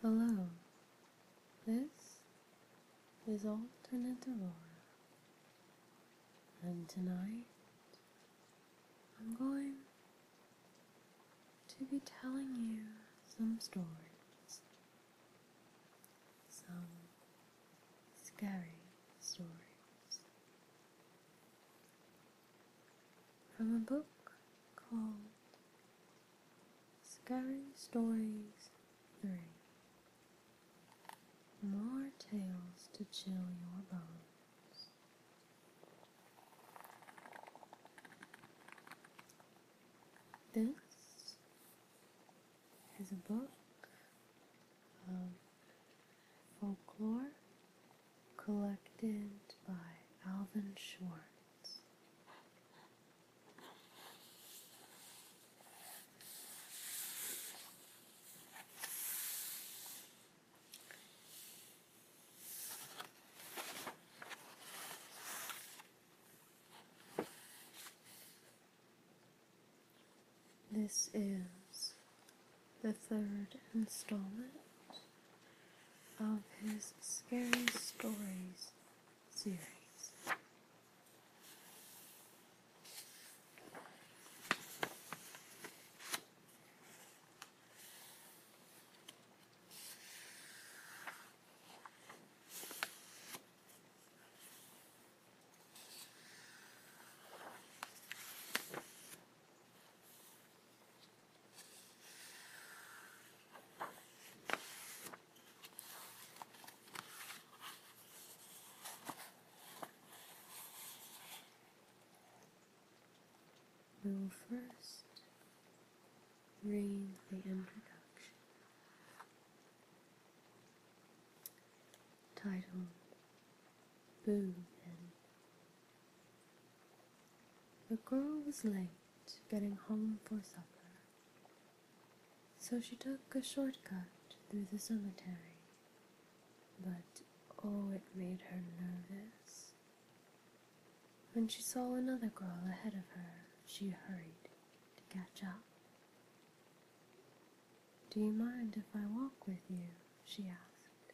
Hello, this is Alternate Aurora, and tonight I'm going to be telling you some stories, some scary stories from a book called Scary Stories 3 More Tales to Chill Your Bones. This is a book of folklore collected by Alvin Schwartz. This is the third installment of his scary stories series. We will first read the introduction Title. Boom Then. The girl was late to getting home for supper. So she took a shortcut through the cemetery, but oh, it made her nervous. When she saw another girl ahead of her, she hurried to catch up. Do you mind if I walk with you? she asked.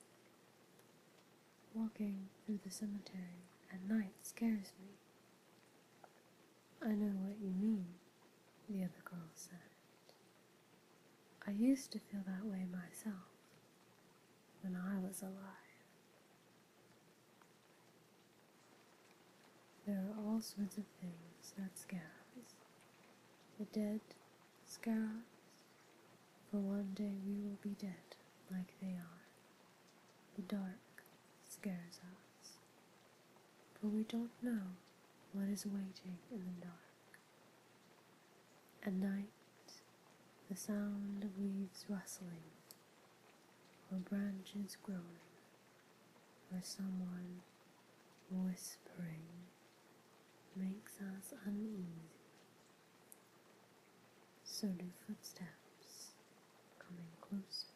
Walking through the cemetery at night scares me, I know what you mean, the other girl said. I used to feel that way myself when I was alive. There are all sorts of things that scare us. The dead scare us, for one day we will be dead like they are. The dark scares us, for we don't know what is waiting in the dark. At night, the sound of leaves rustling, or branches groaning, or someone whispering makes us uneasy. So do footsteps coming closer.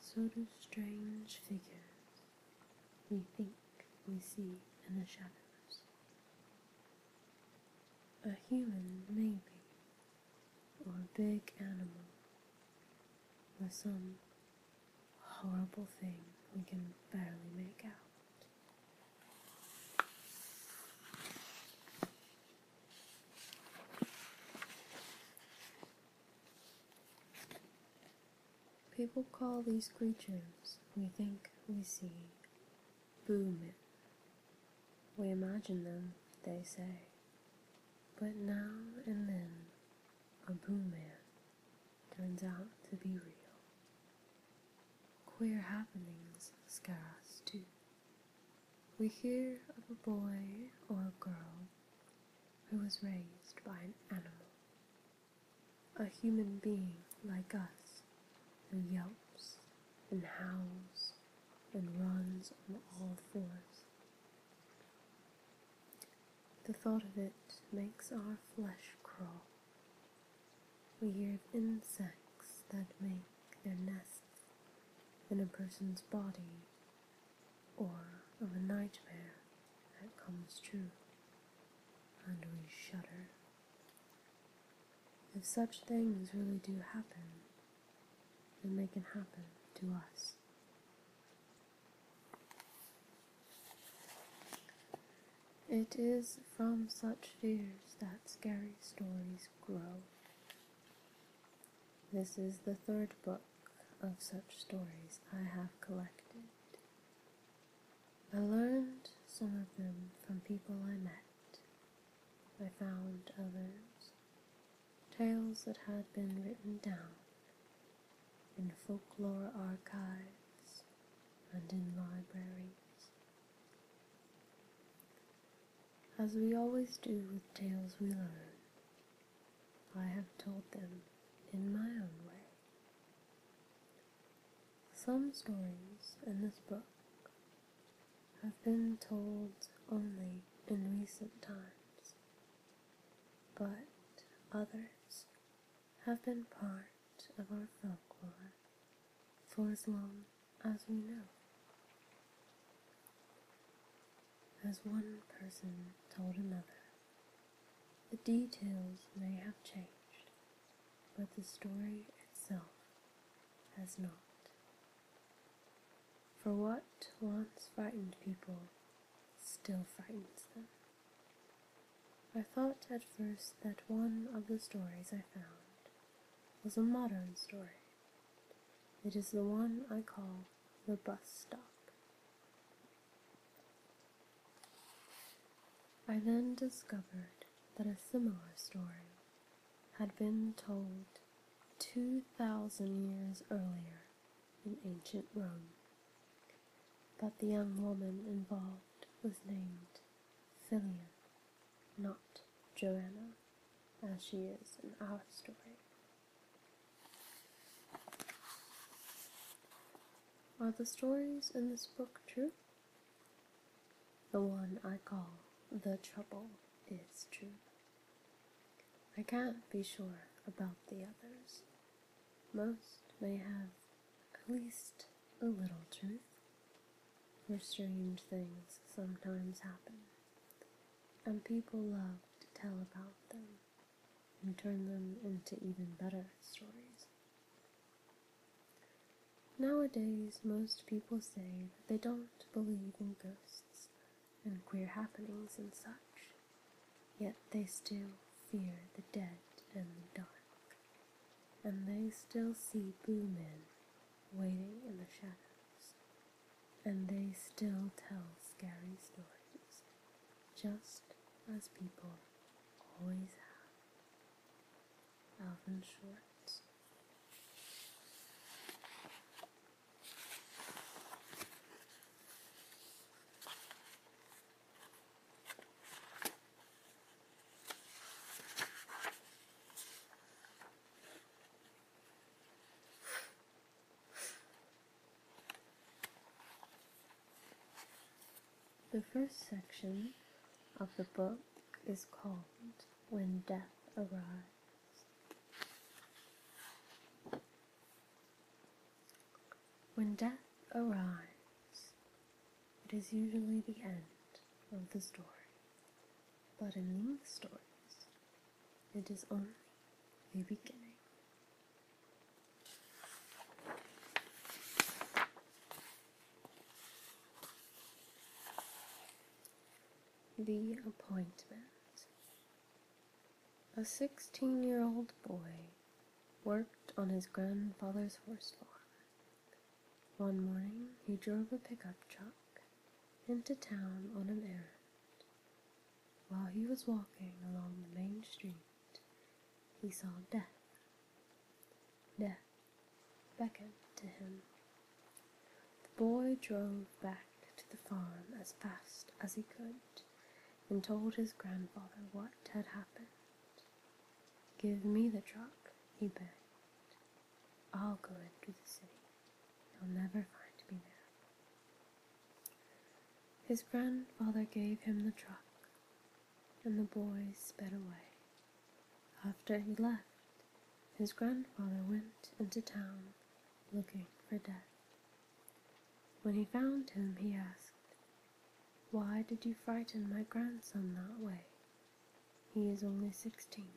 So do strange figures we think we see in the shadows. A human, maybe, or a big animal, or some horrible thing we can barely make out. People call these creatures we think we see men. We imagine them, they say. But now and then, a boom man turns out to be real. Queer happenings scare us too. We hear of a boy or a girl who was raised by an animal, a human being like us who yelps and howls and runs on all fours. The thought of it makes our flesh crawl. We hear of insects that make their nests in a person's body or of a nightmare that comes true, and we shudder. If such things really do happen, then they can happen to us. It is from such fears that scary stories grow. This is the third book of such stories I have collected. I learned some of them from people I met. I found others, tales that had been written down in folklore archives and in libraries. As we always do with tales we learn, I have told them in my own way. Some stories in this book have been told only in recent times, but others have been part of our folklore for as long as we know. As one person told another, the details may have changed, but the story itself has not. For what once frightened people still frightens them. I thought at first that one of the stories I found was a modern story. It is the one I call the bus stop. I then discovered that a similar story had been told 2,000 years earlier in ancient Rome, but the young woman involved was named Philion not Joanna, as she is in our story. Are the stories in this book true? The one I call The Trouble is true. I can't be sure about the others. Most may have at least a little truth, for strange things sometimes happen and people love to tell about them and turn them into even better stories. Nowadays, most people say that they don't believe in ghosts and queer happenings and such, yet they still fear the dead and the dark, and they still see men waiting in the shadows and they still tell scary stories, just as people always have. Alvin Schwartz. The first section of the book is called When Death Arrives. When death arrives, it is usually the end of the story. But in these stories, it is only a beginning. The appointment. A 16 year old boy worked on his grandfather's horse farm. One morning, he drove a pickup truck into town on an errand. While he was walking along the main street, he saw Death. Death beckoned to him. The boy drove back to the farm as fast as he could and told his grandfather what had happened. Give me the truck, he begged. I'll go into the city. You'll never find me there. His grandfather gave him the truck, and the boy sped away. After he left, his grandfather went into town looking for Death. When he found him, he asked, Why did you frighten my grandson that way? He is only sixteen.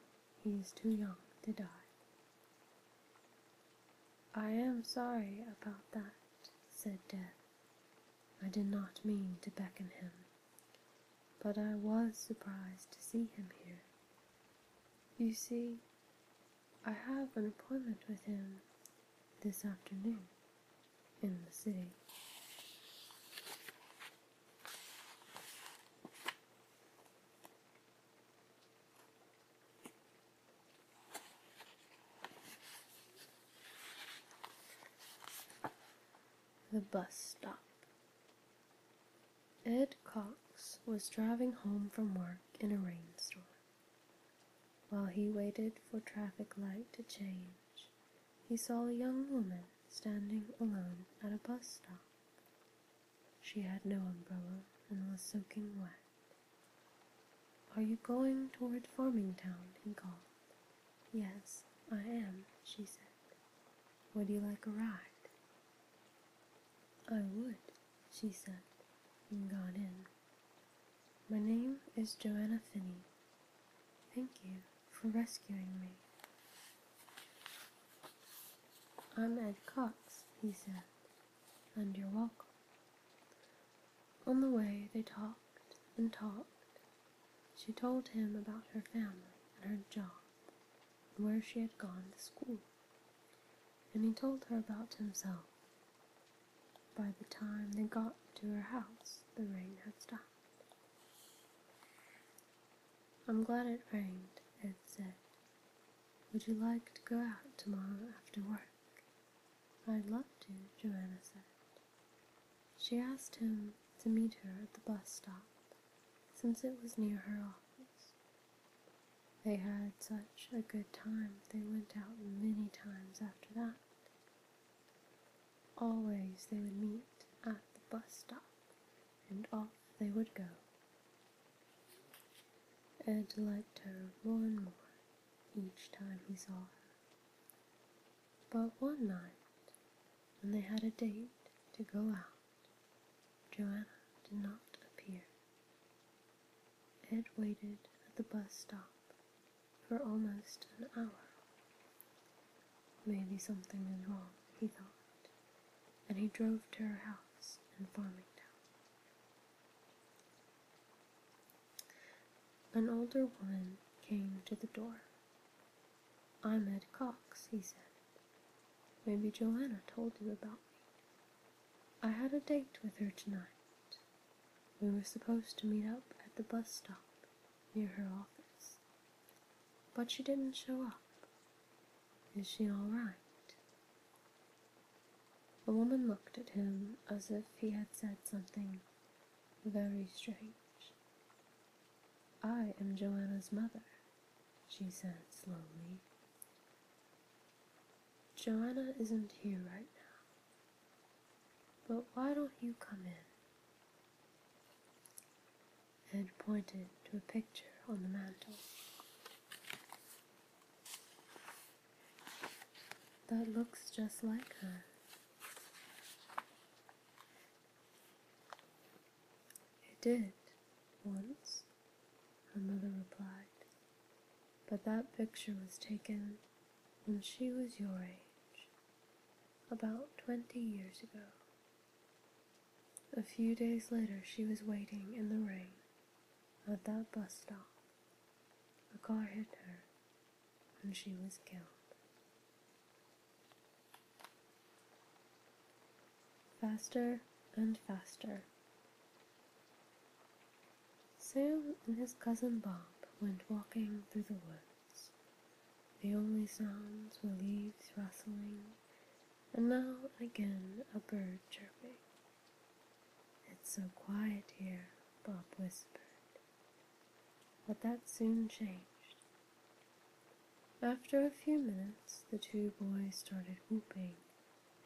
He is too young to die. I am sorry about that, said Death. I did not mean to beckon him, but I was surprised to see him here. You see, I have an appointment with him this afternoon in the city. The bus stop. Ed Cox was driving home from work in a rainstorm. While he waited for traffic light to change, he saw a young woman standing alone at a bus stop. She had no umbrella and was soaking wet. Are you going toward Farmingtown? he called. Yes, I am, she said. Would you like a ride? I would, she said, and got in. My name is Joanna Finney. Thank you for rescuing me. I'm Ed Cox, he said and you're welcome. On the way, they talked and talked. She told him about her family and her job, and where she had gone to school, and he told her about himself. By the time they got to her house, the rain had stopped. I'm glad it rained, Ed said. Would you like to go out tomorrow after work? I'd love to, Joanna said. She asked him to meet her at the bus stop, since it was near her office. They had such a good time, they went out many times after that. Always they would meet at the bus stop, and off they would go, Ed liked her more and more each time he saw her. But one night, when they had a date to go out, Joanna did not appear. Ed waited at the bus stop for almost an hour. Maybe something is wrong, he thought, and he drove to her house in Farmingtown. An older woman came to the door. I'm Cox, he said. Maybe Joanna told you about me. I had a date with her tonight. We were supposed to meet up at the bus stop near her office. But she didn't show up. Is she all right? The woman looked at him as if he had said something very strange. I am Joanna's mother, she said slowly. Joanna isn't here right now, but why don't you come in? And pointed to a picture on the mantel. That looks just like her. It did, once, her mother replied, but that picture was taken when she was your age, about twenty years ago. A few days later, she was waiting in the rain at that bus stop, a car hit her and she was killed. Faster and faster. Sam and his cousin Bob went walking through the woods. The only sounds were leaves rustling, and now and again a bird chirping. It's so quiet here, Bob whispered. But that soon changed. After a few minutes, the two boys started whooping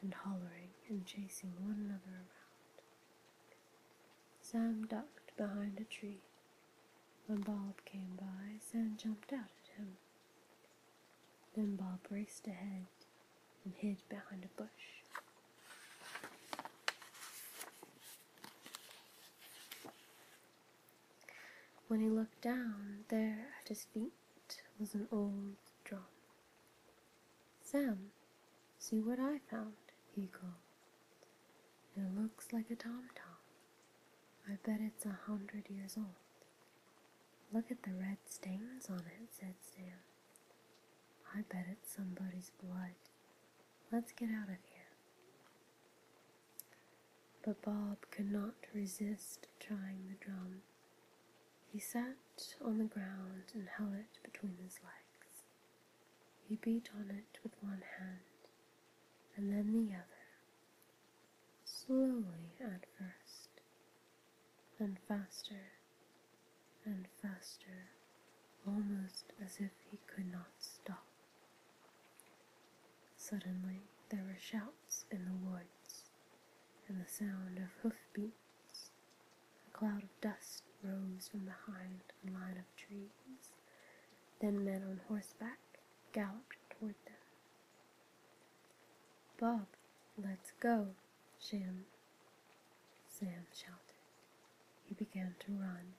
and hollering and chasing one another around. Sam ducked behind a tree. When Bob came by, Sam jumped out at him. Then Bob raced ahead and hid behind a bush. When he looked down, there at his feet was an old drum. Sam, see what I found, he called. It looks like a tom-tom. I bet it's a hundred years old. Look at the red stains on it, said Sam. I bet it's somebody's blood. Let's get out of here. But Bob could not resist trying the drum. He sat on the ground and held it between his legs. He beat on it with one hand, and then the other, slowly at first, and faster and faster, almost as if he could not stop. Suddenly there were shouts in the woods, and the sound of hoofbeats. A cloud of dust rose from behind a line of trees. Then men on horseback galloped toward them. Bob, let's go, Jim! Sam shouted. He began to run.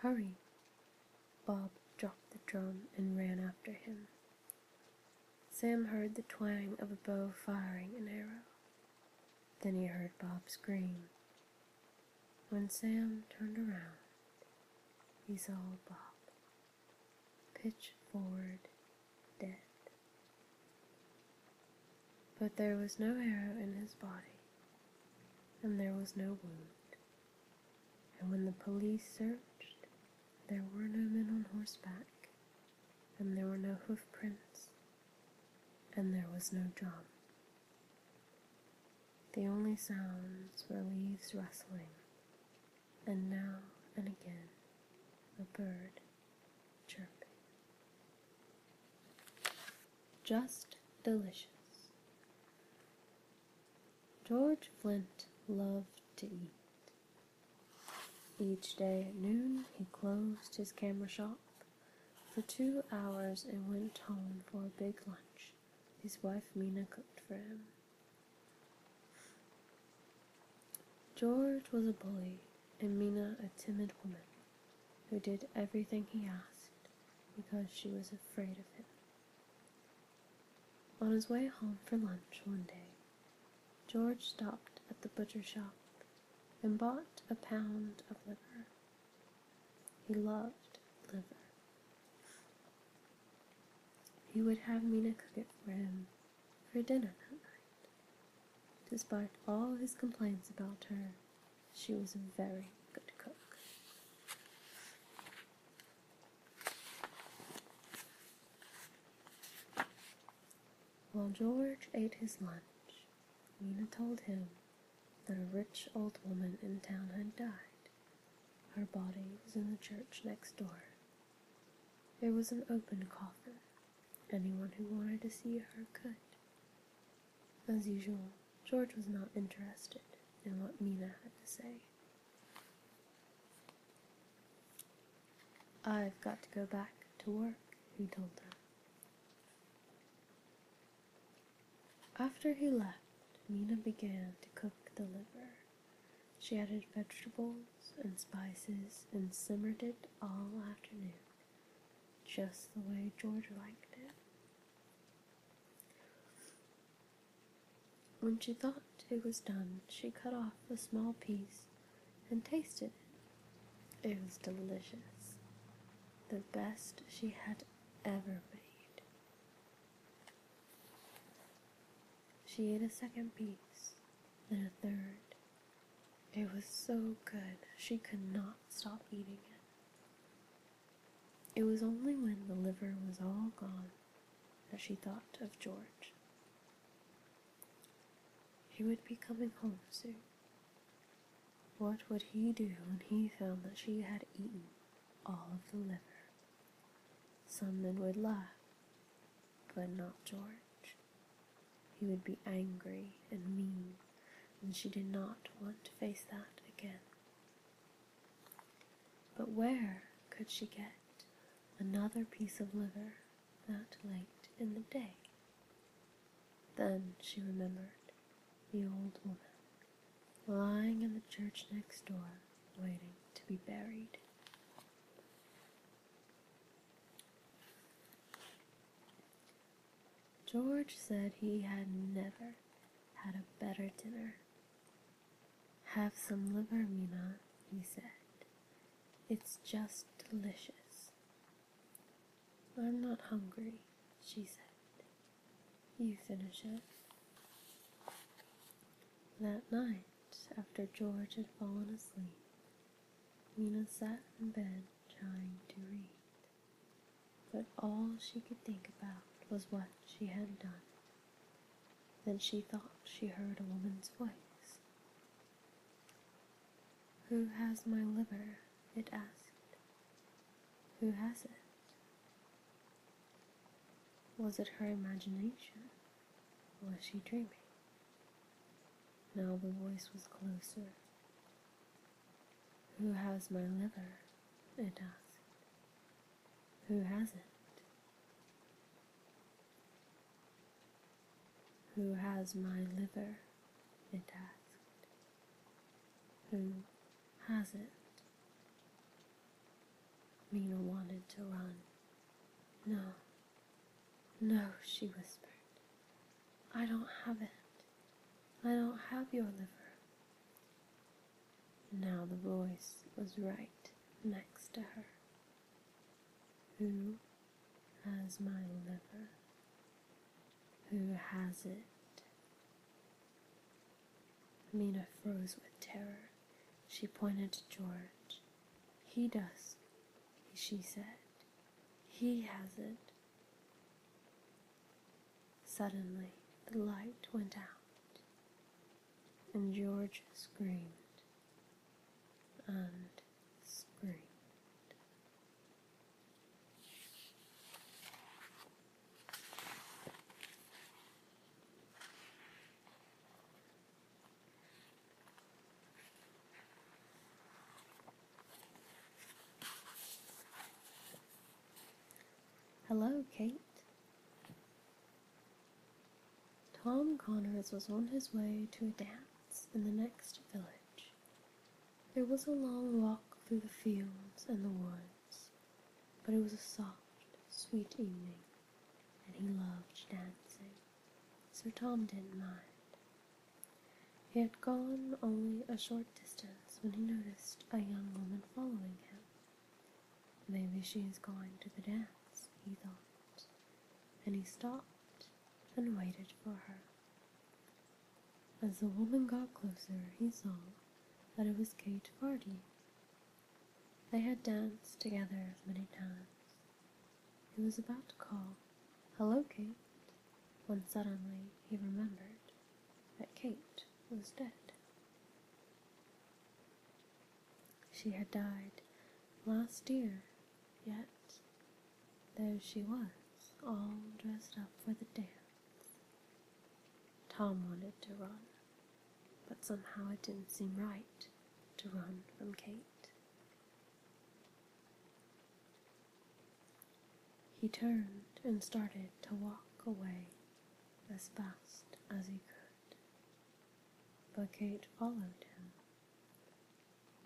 Hurry! Bob dropped the drum and ran after him. Sam heard the twang of a bow firing an arrow. Then he heard Bob scream. When Sam turned around, he saw Bob pitch forward dead. But there was no arrow in his body, and there was no wound. And when the police searched, there were no men on horseback, and there were no hoofprints, and there was no drum. The only sounds were leaves rustling, and now and again a bird chirping. Just delicious. George Flint loved to eat. Each day at noon, he closed his camera shop for two hours and went home for a big lunch. His wife Mina cooked for him. George was a bully and Mina a timid woman who did everything he asked because she was afraid of him. On his way home for lunch one day, George stopped at the butcher shop and bought a pound of liver. He loved liver. He would have Mina cook it for him for dinner that night. Despite all his complaints about her, she was a very good cook. While George ate his lunch, Nina told him that a rich old woman in town had died. Her body was in the church next door. There was an open coffin Anyone who wanted to see her could. As usual, George was not interested in what Mina had to say. I've got to go back to work, he told her. After he left, Mina began to cook the liver. She added vegetables and spices and simmered it all afternoon, just the way George liked it. When she thought it was done, she cut off a small piece and tasted it. It was delicious, the best she had ever made. She ate a second piece, then a third, it was so good she could not stop eating it. It was only when the liver was all gone that she thought of George. He would be coming home soon. What would he do when he found that she had eaten all of the liver? Some men would laugh, but not George. He would be angry and mean, and she did not want to face that again. But where could she get another piece of liver that late in the day? Then she remembered the old woman lying in the church next door waiting to be buried. George said he had never had a better dinner. Have some liver, Mina, he said. It's just delicious. I'm not hungry, she said. You finish it. That night, after George had fallen asleep, Mina sat in bed trying to read, but all she could think about was what she had done. Then she thought she heard a woman's voice. Who has my liver? it asked. Who has it? Was it her imagination? Was she dreaming? Now the voice was closer. Who has my liver? It asked. Who has it? Who has my liver? It asked. Who hasn't? Mina wanted to run. No, no, she whispered. I don't have it. I don't have your liver. Now the voice was right next to her. Who has my liver? Who has it? Mina froze with terror. She pointed to George. He does, she said. He has it. Suddenly, the light went out, and George screamed and screamed. Hello, Kate. Tom Connors was on his way to a dance in the next village. It was a long walk through the fields and the woods, but it was a soft, sweet evening, and he loved dancing, so Tom didn't mind. He had gone only a short distance when he noticed a young woman following him. Maybe she is going to the dance, he thought, and he stopped and waited for her. As the woman got closer, he saw that it was Kate Fardy. They had danced together many times, he was about to call, Hello, Kate, when suddenly he remembered that Kate was dead. She had died last year, yet, there she was, all dressed up for the dance. Tom wanted to run, but somehow it didn't seem right to run from Kate. He turned and started to walk away as fast as he could. But Kate followed him.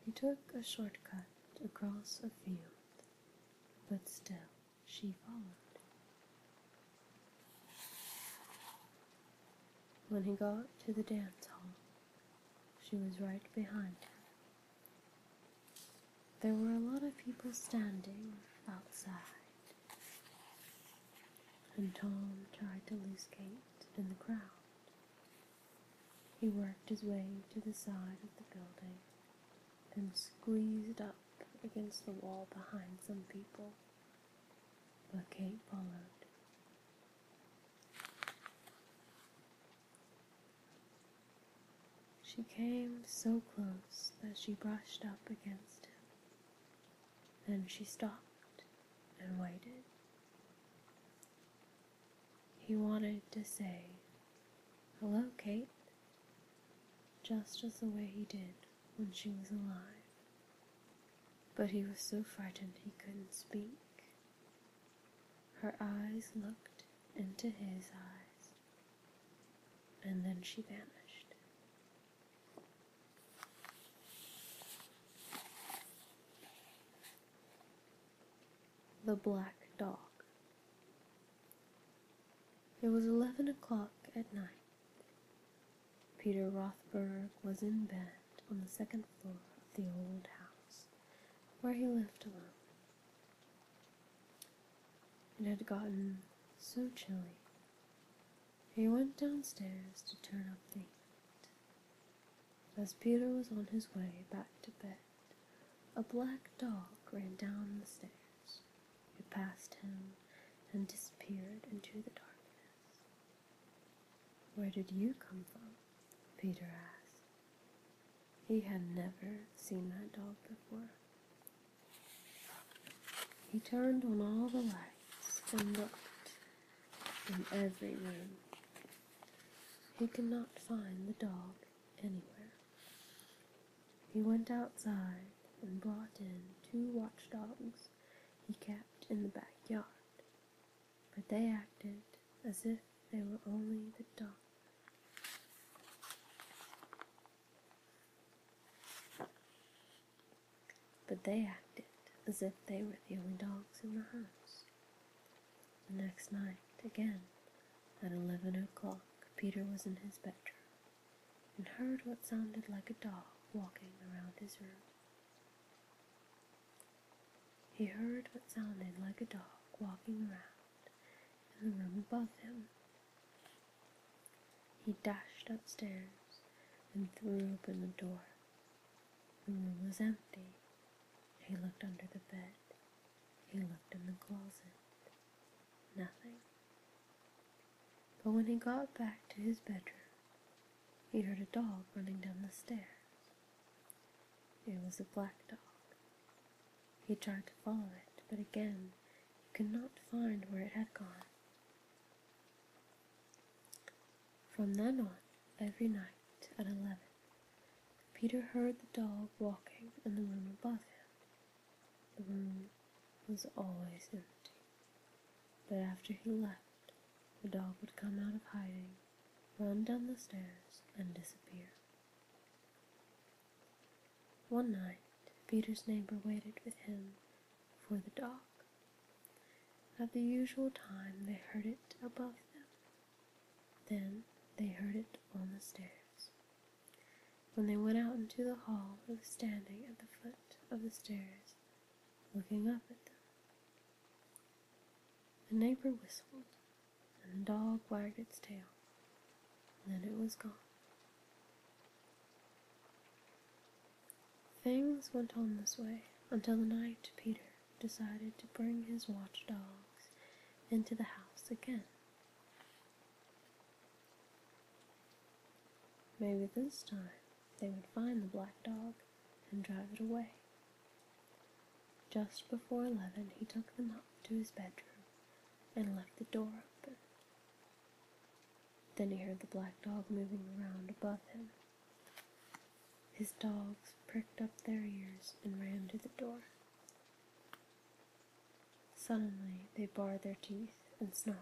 He took a shortcut across a field, but still she followed. When he got to the dance hall, she was right behind him. There were a lot of people standing outside, and Tom tried to lose Kate in the crowd. He worked his way to the side of the building and squeezed up against the wall behind some people, but Kate followed. She came so close that she brushed up against him. Then she stopped and waited. He wanted to say, Hello, Kate, just as the way he did when she was alive. But he was so frightened he couldn't speak. Her eyes looked into his eyes, and then she vanished. The Black Dog. It was 11 o'clock at night. Peter Rothberg was in bed on the second floor of the old house, where he lived alone. It had gotten so chilly, he went downstairs to turn up the heat. As Peter was on his way back to bed, a black dog ran down the stairs. It passed him and disappeared into the darkness. Where did you come from? Peter asked. He had never seen that dog before. He turned on all the lights and looked in every room. He could not find the dog anywhere. He went outside and brought in two watch dogs he kept in the backyard but they acted as if they were only the dogs. But they acted as if they were the only dogs in the house. The next night, again, at eleven o'clock, Peter was in his bedroom and heard what sounded like a dog walking around his room. He heard what sounded like a dog walking around in the room above him. He dashed upstairs and threw open the door. The room was empty. He looked under the bed. He looked in the closet. Nothing. But when he got back to his bedroom, he heard a dog running down the stairs. It was a black dog. He tried to follow it, but again he could not find where it had gone. From then on, every night at eleven, Peter heard the dog walking in the room above him. The room was always empty, but after he left, the dog would come out of hiding, run down the stairs, and disappear. One night, Peter's neighbor waited with him for the dog. At the usual time, they heard it above them. Then they heard it on the stairs. When they went out into the hall, it was standing at the foot of the stairs, looking up at them. The neighbor whistled, and the dog wagged its tail, and then it was gone. Things went on this way until the night Peter decided to bring his watch dogs into the house again. Maybe this time they would find the black dog and drive it away. Just before eleven, he took them up to his bedroom and left the door open. Then he heard the black dog moving around above him. His dogs pricked up their ears and ran to the door. Suddenly, they bared their teeth and snarled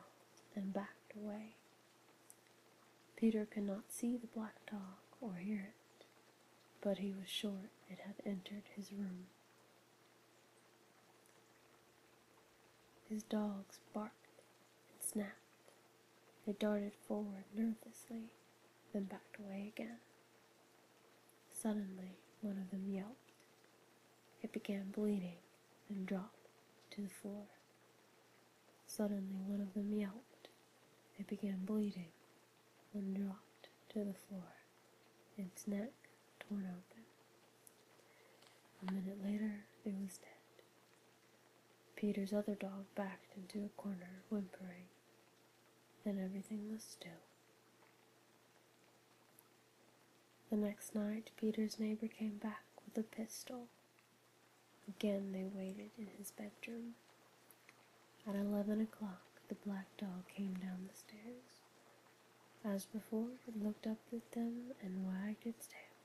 and backed away. Peter could not see the black dog or hear it, but he was sure it had entered his room. His dogs barked and snapped. They darted forward nervously, then backed away again. Suddenly, one of them yelped. It began bleeding and dropped to the floor. Suddenly, one of them yelped. It began bleeding and dropped to the floor, its neck torn open. A minute later, it was dead. Peter's other dog backed into a corner, whimpering, Then everything was still. The next night, Peter's neighbor came back with a pistol. Again they waited in his bedroom at eleven o'clock, the black dog came down the stairs. As before, it looked up at them and wagged its tail.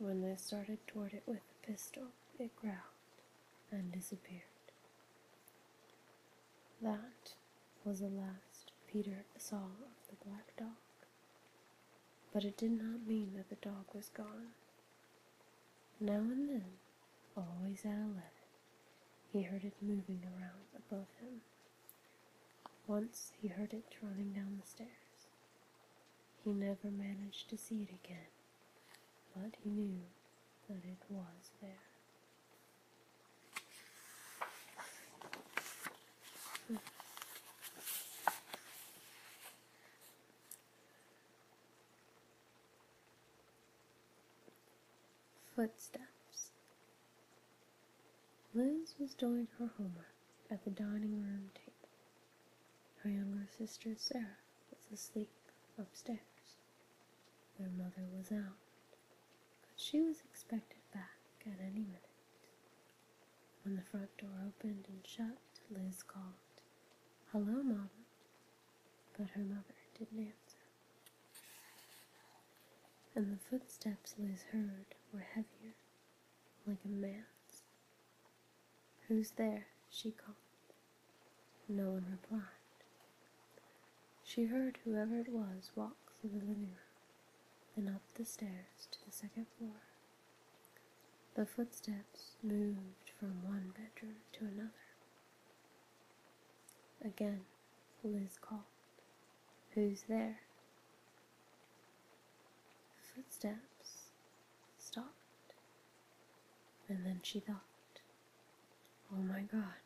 When they started toward it with the pistol, it growled and disappeared. That was the last Peter saw of the black dog. But it did not mean that the dog was gone. Now and then, always at eleven, he heard it moving around above him. Once he heard it running down the stairs. He never managed to see it again, but he knew that it was there. Footsteps. Liz was doing her homework at the dining room table. Her younger sister Sarah was asleep upstairs. Their mother was out, but she was expected back at any minute. When the front door opened and shut, Liz called, Hello, mom." but her mother didn't answer. And the footsteps Liz heard were heavier, like a man's. Who's there? she called. No one replied. She heard whoever it was walk through the living room then up the stairs to the second floor. The footsteps moved from one bedroom to another, Again, Liz called. Who's there? Footsteps stopped, and then she thought, Oh my god,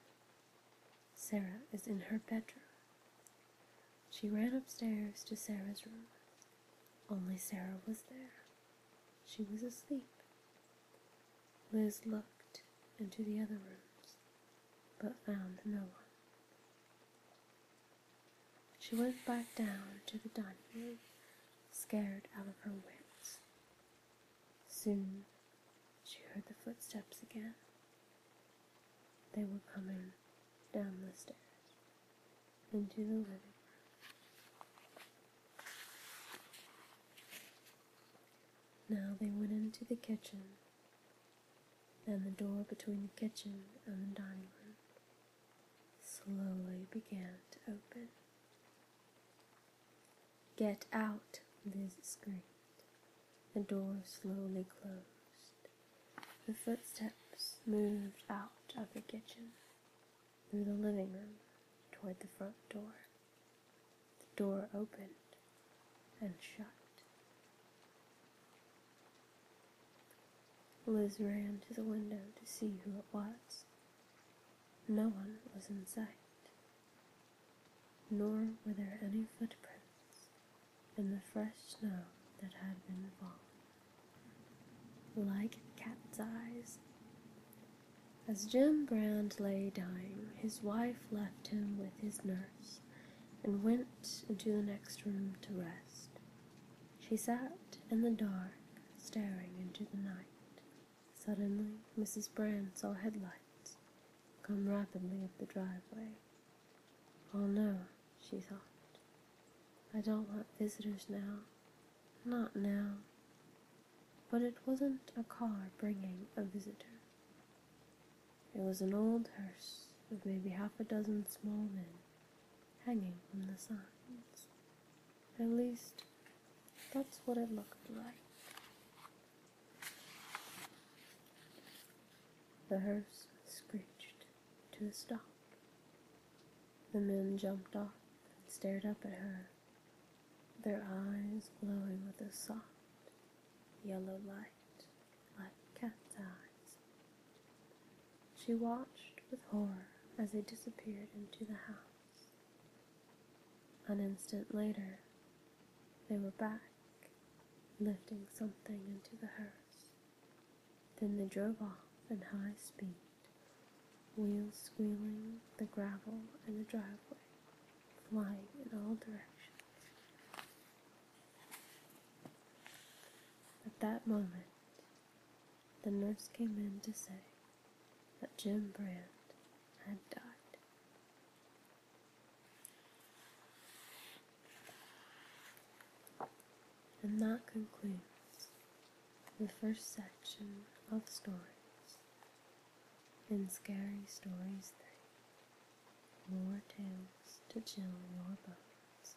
Sarah is in her bedroom. She ran upstairs to Sarah's room. Only Sarah was there. She was asleep. Liz looked into the other rooms, but found no one. She went back down to the dining room, scared out of her wits. Soon she heard the footsteps again. They were coming down the stairs into the living room. Now they went into the kitchen, and the door between the kitchen and the dining room slowly began to open. Get out, Liz screamed. The door slowly closed. The footsteps moved out of the kitchen, through the living room, toward the front door. The door opened and shut. Liz ran to the window to see who it was. No one was in sight, nor were there any footprints in the fresh snow that had been fallen, Like cat's eyes, as Jim Brand lay dying, his wife left him with his nurse and went into the next room to rest. She sat in the dark, staring into the night. Suddenly, Mrs. Brand saw headlights come rapidly up the driveway. Oh no, she thought. I don't want visitors now. Not now. But it wasn't a car bringing a visitor. It was an old hearse with maybe half a dozen small men hanging from the sides. At least, that's what it looked like. The hearse screeched to a stop. The men jumped off and stared up at her their eyes glowing with a soft yellow light like cat's eyes. She watched with horror as they disappeared into the house. An instant later, they were back, lifting something into the hearse. Then they drove off in high speed, wheels squealing the gravel in the driveway flying in all directions. At that moment, the nurse came in to say that Jim Brand had died. And that concludes the first section of stories and scary stories thing. More tales to chill your bones.